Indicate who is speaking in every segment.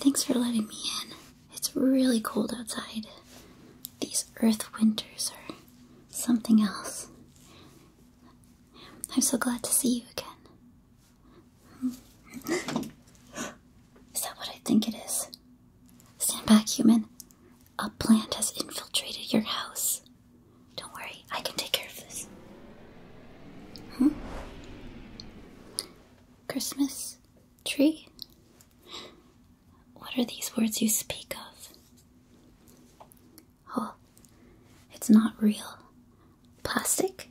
Speaker 1: Thanks for letting me in. It's really cold outside. These earth winters are something else. I'm so glad to see you again. Is that what I think it is? Stand back, human. A plant has infiltrated your house. Don't worry, I can take care of this. Hmm? Christmas tree? What are these words you speak of? Oh, it's not real. Plastic?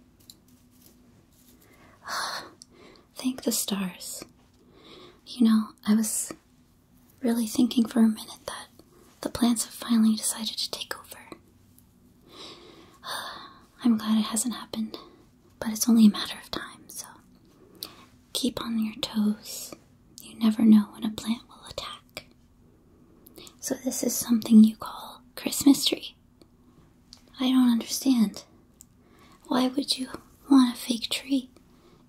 Speaker 1: Ah, thank the stars. You know, I was really thinking for a minute that the plants have finally decided to take over. Ah, I'm glad it hasn't happened, but it's only a matter of time, so keep on your toes. You never know when a plant will attack. So, this is something you call Christmas tree. I don't understand. Why would you want a fake tree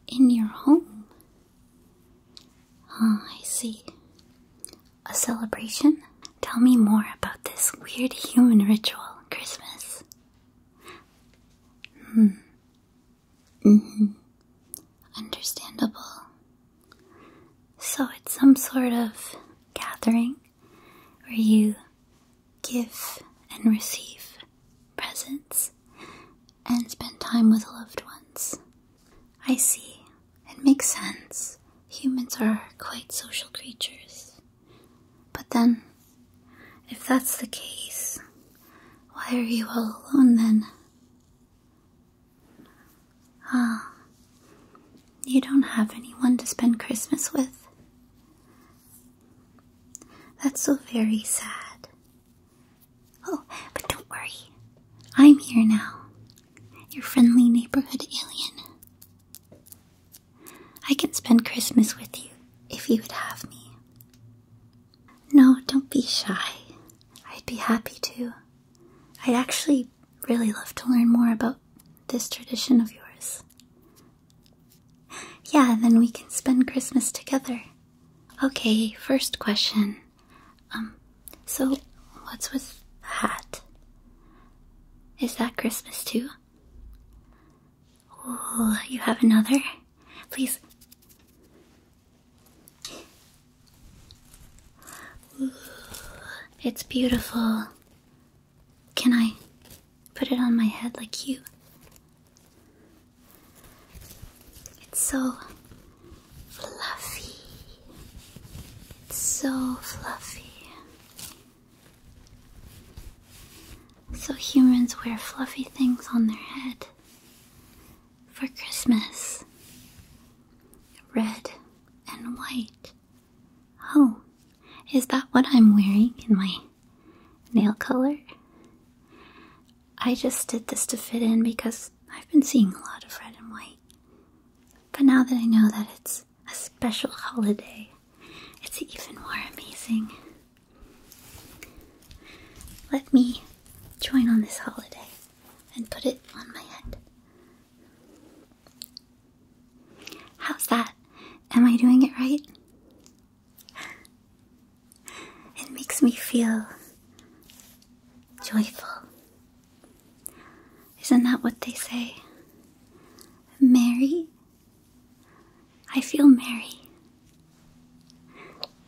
Speaker 1: in your home? Ah, I see a celebration? Tell me more about this weird human ritual, Christmas. Hmm. Mm-hmm. Understandable. So it's some sort of gathering where you give and receive presents and spend time with loved ones. I see. It makes sense. Humans are quite social creatures. But then, if that's the case, why are you all alone then? Ah, you don't have anyone to spend Christmas with. That's so very sad. Oh, but don't worry. I'm here now your friendly neighborhood alien. I could spend Christmas with you if you would have me. No, don't be shy. I'd be happy to. I'd actually really love to learn more about this tradition of yours. Yeah, then we can spend Christmas together. Okay, first question. Um, so, what's with the hat? Is that Christmas too? Oh, you have another? Please. it's beautiful. Can I put it on my head like you? It's so fluffy so fluffy. So humans wear fluffy things on their head for Christmas. Red and white. Oh, is that what I'm wearing in my nail color? I just did this to fit in because I've been seeing a lot of red and white but now that I know that it's a special holiday, it's even more amazing. Let me join on this holiday and put it on my head. How's that? Am I doing it right? It makes me feel joyful isn't that what they say? Mary? I feel Mary.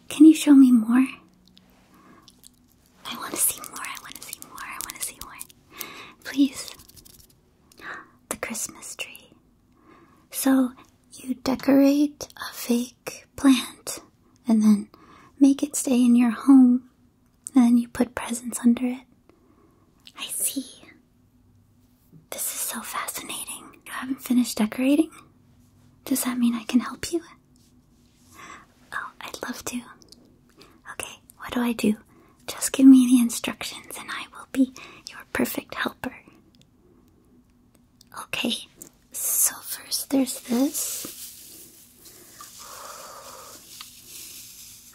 Speaker 1: Can you show me more? I want to see more, I want to see more, I want to see more. Please. The Christmas tree. So you decorate a fake plant and then make it stay in your home and then you put presents under it. I see. This is so fascinating. You haven't finished decorating? Does that mean I can help you? Oh, I'd love to. Okay, what do I do? Just give me the instructions and I will be your perfect helper. Okay, so first there's this.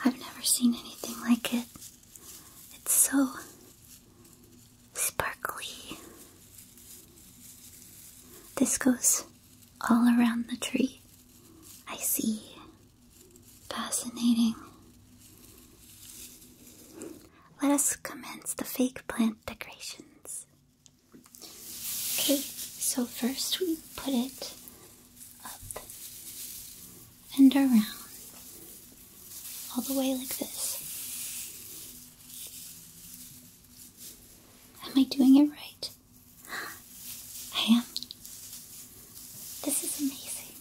Speaker 1: I've never seen anything like it. It's so sparkly. This goes all around the tree. I see. Fascinating. Let us commence the fake plant decorations. Okay, so first we put it up and around, all the way like this. Am I doing it right? I am. This is amazing.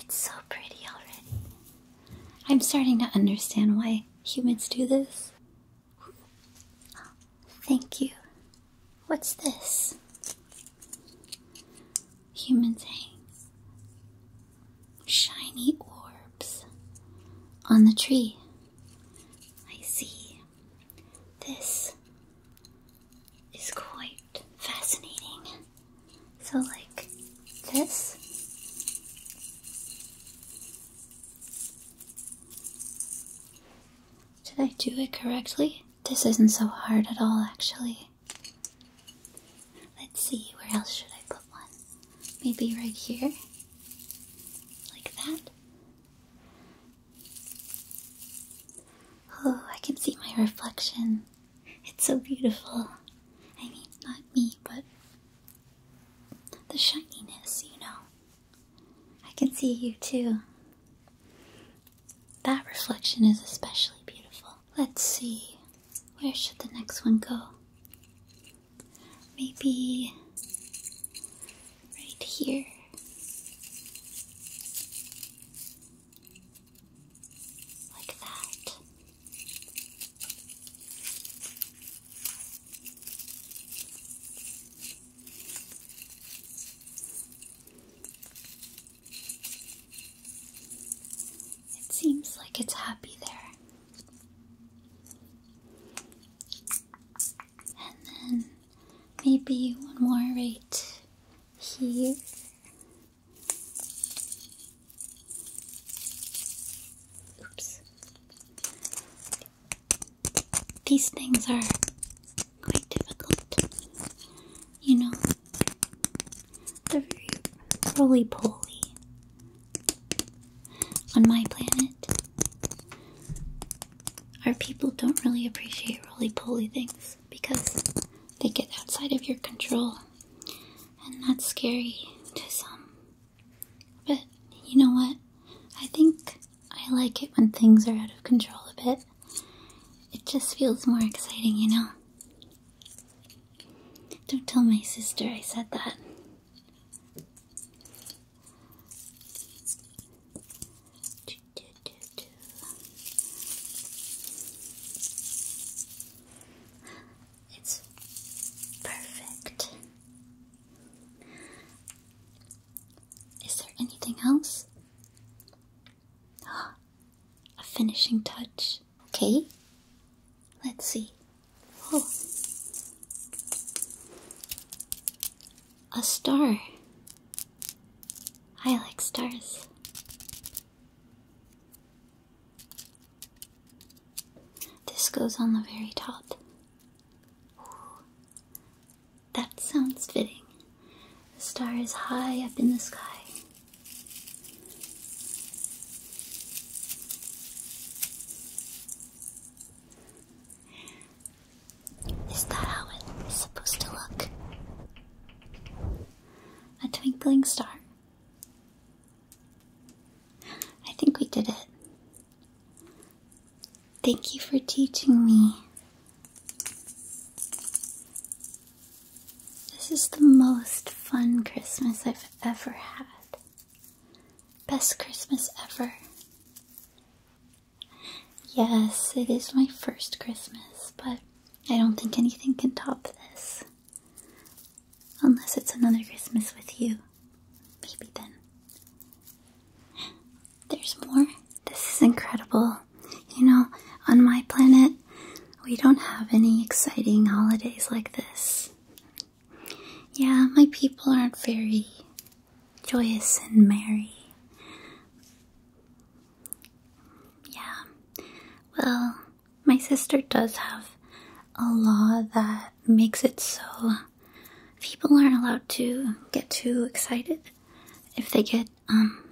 Speaker 1: It's so pretty already. I'm starting to understand why humans do this. Thank you. What's this? Humans hang shiny orbs on the tree. I see. This is quite fascinating. So, like this. Did I do it correctly? This isn't so hard at all, actually. Let's see, where else should I put one? Maybe right here? Like that? Oh, I can see my reflection. It's so beautiful. I mean, not me, but the shininess, you know. I can see you too. That reflection is especially beautiful. Let's see, where should the next one go? Maybe right here. Like that. It seems like it's happy there. And then maybe one more right here. Oops. These things are quite difficult. You know, they're very roly poly on my planet. Our people don't really appreciate roly poly things because they get outside of your control and that's scary to some. But you know what? I think I like it when things are out of control a bit. It just feels more exciting, you know? Don't tell my sister I said that. It's perfect. Is there anything else? A finishing touch. Okay. Let's see. A star. I like stars. This goes on the very top. that sounds fitting. The star is high up in the sky. Is that how it is supposed to look? A twinkling star I think we did it. Thank you for teaching me. This is the most fun Christmas I've ever had. Best Christmas ever. Yes, it is my first Christmas, but I don't think anything can top this. Unless it's another Christmas with you. Maybe then. There's more. This is incredible. You know, on my planet, we don't have any exciting holidays like this. Yeah, my people aren't very joyous and merry. Yeah. Well, my sister does have a law that makes it so people aren't allowed to get too excited. If they get um,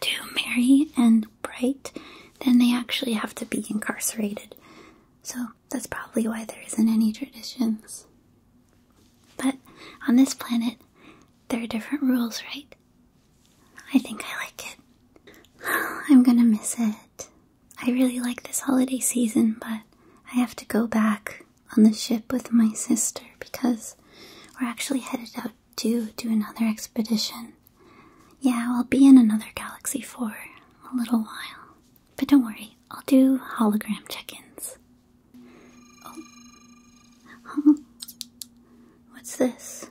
Speaker 1: too merry and bright, then they actually have to be incarcerated. So that's probably why there isn't any traditions. But on this planet, there are different rules, right? I think I like it. I'm gonna miss it. I really like this holiday season, but I have to go back on the ship with my sister because we're actually headed out to do another expedition. Yeah, I'll be in another galaxy for a little while. But don't worry, I'll do hologram check ins. Oh. What's this?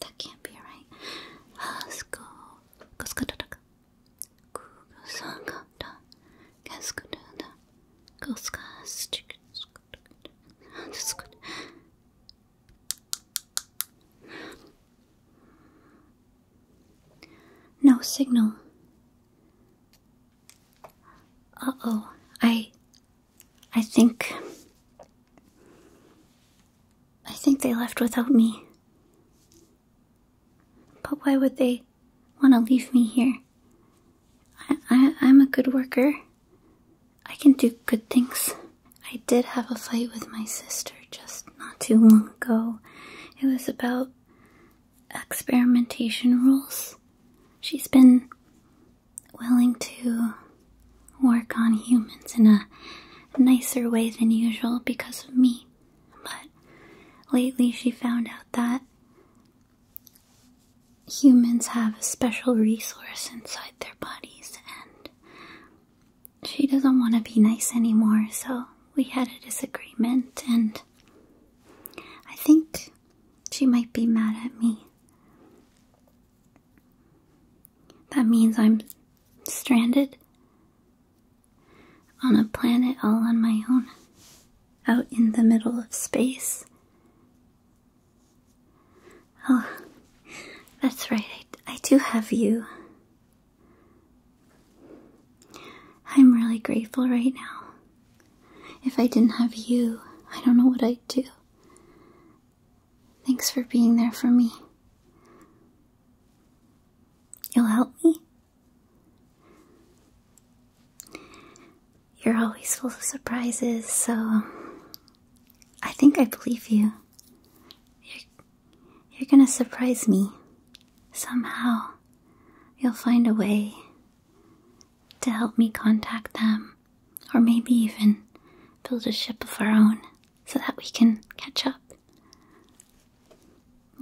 Speaker 1: That can't be right. Hasko Koskataka Kugosangata No signal. Uh oh. I I think I think they left without me. But why would they want to leave me here? I, I, I'm a good worker. I can do good things. I did have a fight with my sister just not too long ago. It was about experimentation rules. She's been willing to work on humans in a nicer way than usual because of me. But lately she found out that humans have a special resource inside their bodies and she doesn't want to be nice anymore, so we had a disagreement and I think she might be mad at me. That means I'm Stranded? On a planet all on my own? Out in the middle of space? Oh, that's right, I, I do have you. I'm really grateful right now. If I didn't have you, I don't know what I'd do. Thanks for being there for me. You'll help me? You're always full of surprises, so I think I believe you. You're, gonna surprise me. Somehow, you'll find a way to help me contact them, or maybe even build a ship of our own so that we can catch up.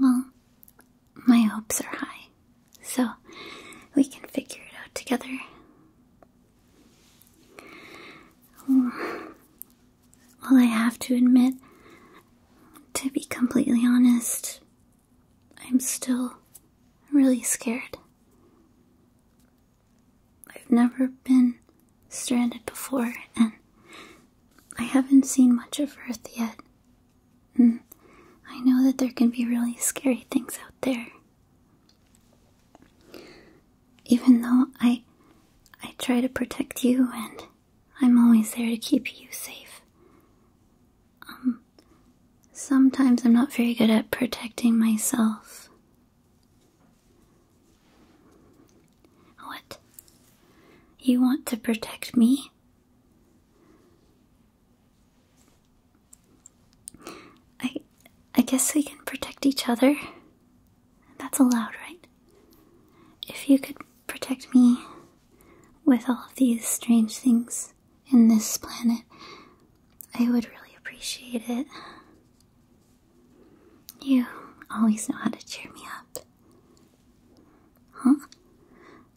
Speaker 1: Well, my hopes are high, so we can figure it out together. Well, I have to admit, to be completely honest, I'm still really scared. I've never been stranded before, and I haven't seen much of Earth yet. And hmm. I know that there can be really scary things out there. Even though I I try to protect you and I'm always there to keep you safe. Um sometimes I'm not very good at protecting myself. What? You want to protect me? I I guess we can protect each other. That's allowed, right? If you could protect me with all of these strange things in this planet, I would really appreciate it. You always know how to cheer me up. Huh?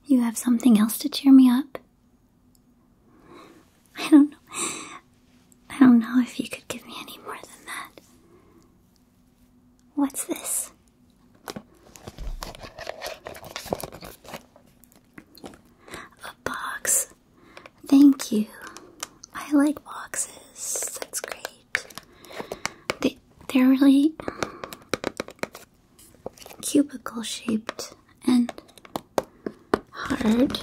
Speaker 1: You have something else to cheer me up? I don't know. I don't know if you could give me any more than that. What's this? A box Thank you. I like boxes. That's great. They, they're really cubicle shaped and hard,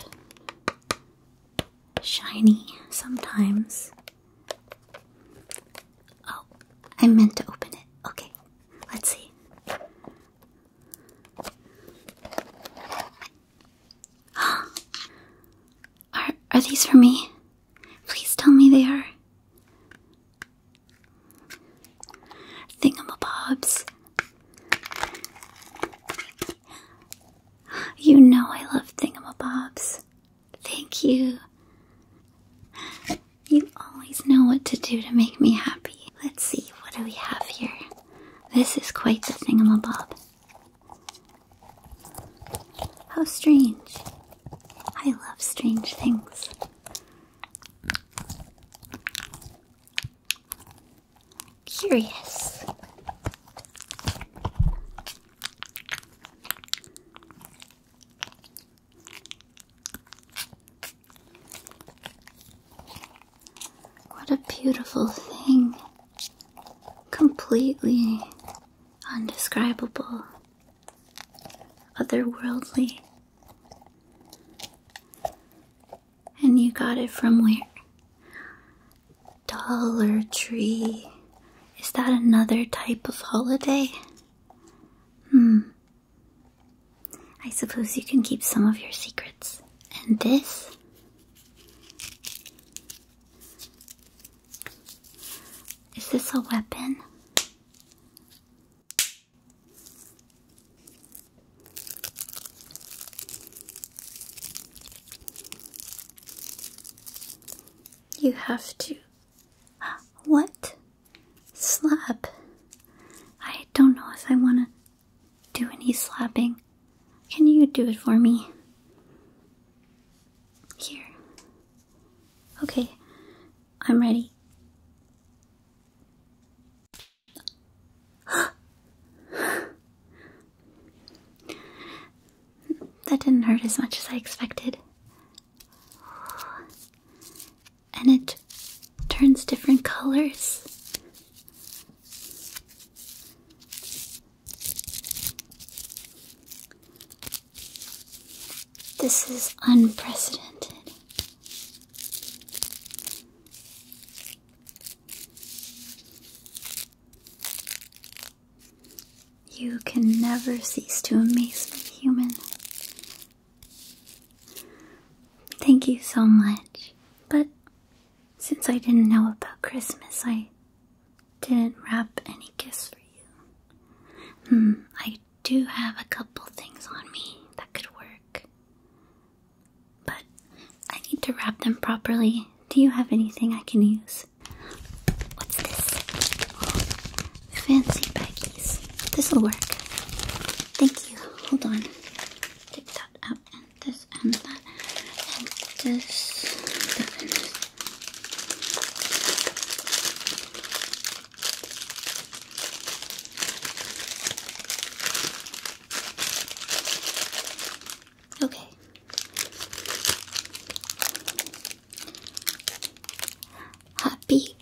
Speaker 1: shiny sometimes. Oh, I meant to open it. Okay, let's see. Are are these for me? Please tell me they are. Thingamabobs. You know I love thingamabobs. Thank you. You always know what to do to make me happy. Let's see, what do we have here? This is quite the thingamabob. How strange. I love strange things. Curious. What a beautiful thing completely undescribable, otherworldly. And you got it from where? Dollar Tree. Is that another type of holiday? Hmm. I suppose you can keep some of your secrets. And this? Is this a weapon? You have to. What? Slap. I don't know if I want to do any slapping. Can you do it for me? Here. Okay, I'm ready. that didn't hurt as much as I expected. And it turns different colors. This is unprecedented. You can never cease to amaze me, human. Thank you so much. But since I didn't know about Christmas, I didn't wrap any gifts for you. Hmm, I do have a couple things on me that could work. But I need to wrap them properly. Do you have anything I can use? What's this? fancy baggies. This'll work. Thank you. Hold on. Take that out this and that, and this Okay. Happy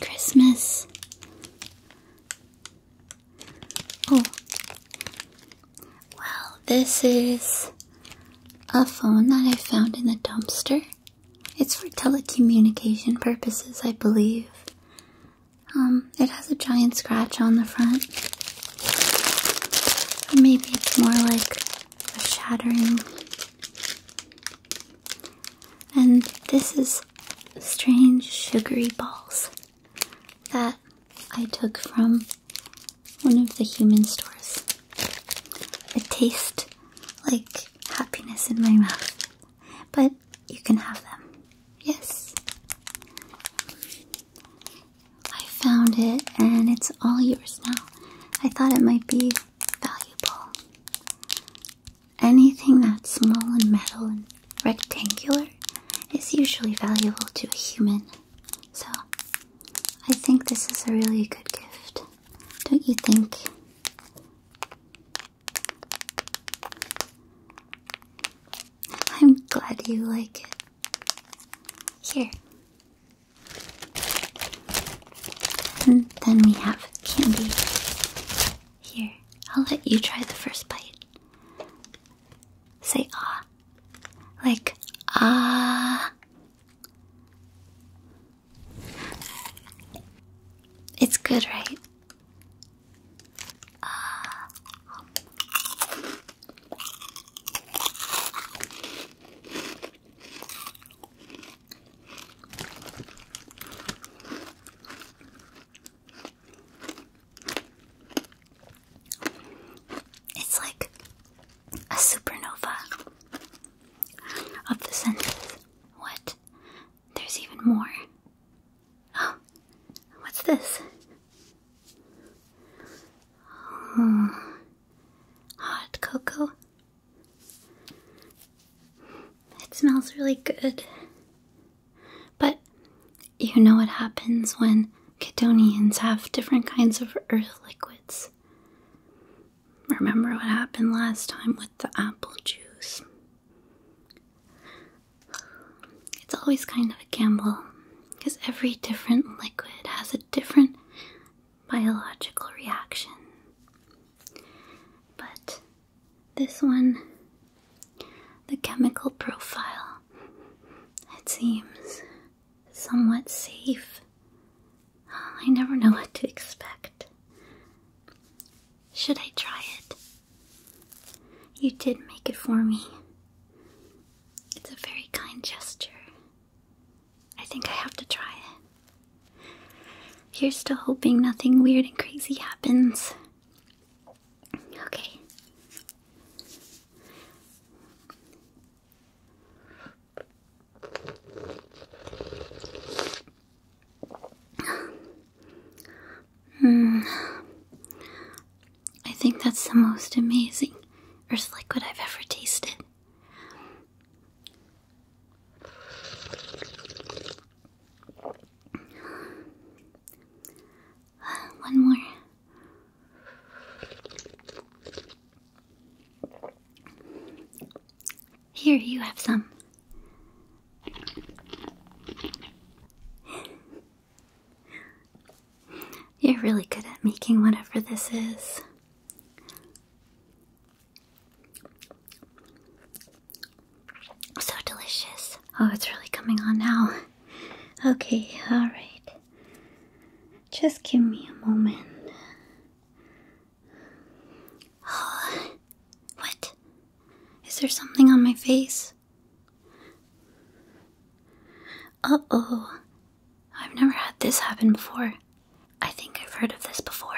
Speaker 1: Christmas. Oh. Well, this is a phone that I found in the dumpster. It's for telecommunication purposes, I believe. Um, it has a giant scratch on the front. Or maybe it's more like a shattering. And this is strange sugary balls that I took from one of the human stores. It tastes like happiness in my mouth, but you can have them. Yes. I found it and it's all yours now. I thought it might be valuable. Anything that's small and metal and rectangular is usually valuable to a human. So, I think this is a really good gift. Don't you think? I'm glad you like it. Here. And then we have candy. Here, I'll let you try the first bite. Say ah. Like ah. It's good, right? Ah. It's like a supernova of the senses. What? There's even more. Oh, what's this? Hmm. hot cocoa. It smells really good. But you know what happens when Ketonians have different kinds of earth liquids. Remember what happened last time with the apple juice? It's always kind of a gamble because every different liquid has a different biological reaction. But this one the chemical profile, it seems, somewhat safe. I never know what to expect. Should I try it? You did make it for me. It's a very kind gesture. I think I have to try it. You're still hoping nothing weird and crazy happens. Okay. Mm. I think that's the most amazing earth liquid I've ever tasted. One more. Here, you have some. You're really good at making whatever this is. So delicious. Oh, it's really coming on now. Okay, alright. Just give me a moment. Oh, what? Is there something on my face? Uh oh. I've never had this happen before. I think I've heard of this before.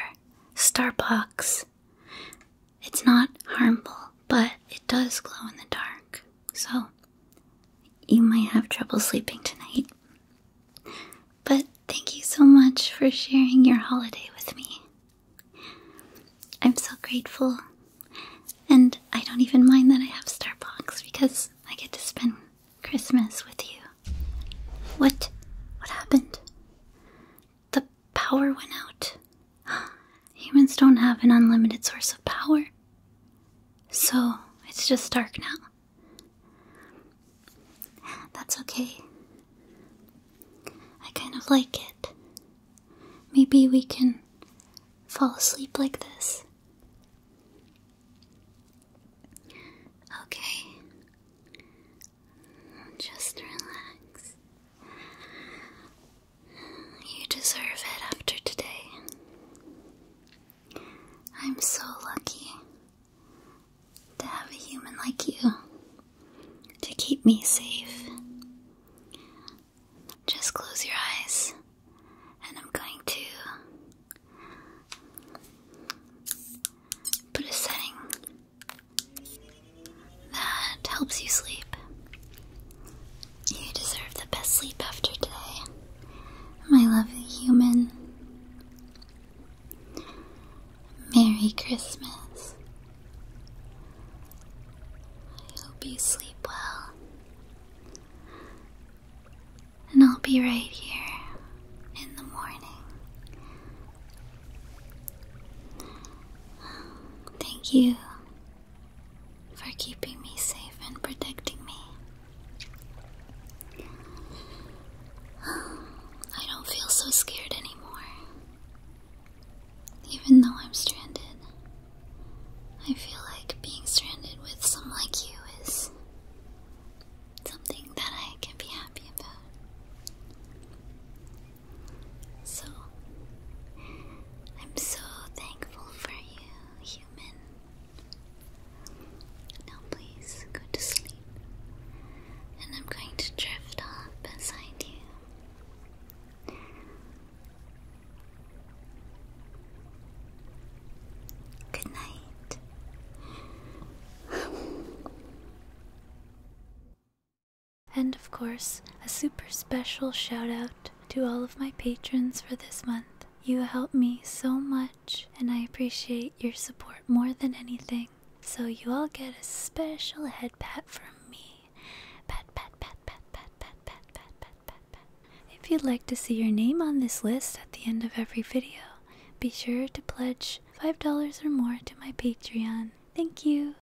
Speaker 1: Starbucks. It's not harmful, but it does glow in the dark, so you might have trouble sleeping tonight. But thank you so much for sharing your holiday with me. I'm so grateful, and I don't even mind that I have Starbucks because I get to spend Christmas with you. What? What happened? The power went out. Humans don't have an unlimited source of power. So it's just dark now. That's okay. I kind of like it. Maybe we can fall asleep like this. Okay. Just relax. You deserve it after today. I'm so lucky to have a human like you to keep me safe. Just close your eyes, and I'm going to put a setting that helps you sleep. You deserve the best sleep after today, my lovely human. Merry Christmas. I hope you sleep well. And I'll be right here in the morning. Thank you for keeping me safe and protecting me. I don't feel so scared anymore. Even though I'm stranded, I feel like being stranded with someone like you is something that I can be happy about. So, I'm so thankful for you, human. Now, please go to sleep, and I'm going to drift off beside you. Good night. And of course, a super special shout out to all of my patrons for this month. You help me so much, and I appreciate your support more than anything. So, you all get a special head pat from me. Pat, pat, pat, pat, pat, pat, pat, pat, pat, pat, pat. If you'd like to see your name on this list at the end of every video, be sure to pledge $5 or more to my Patreon. Thank you.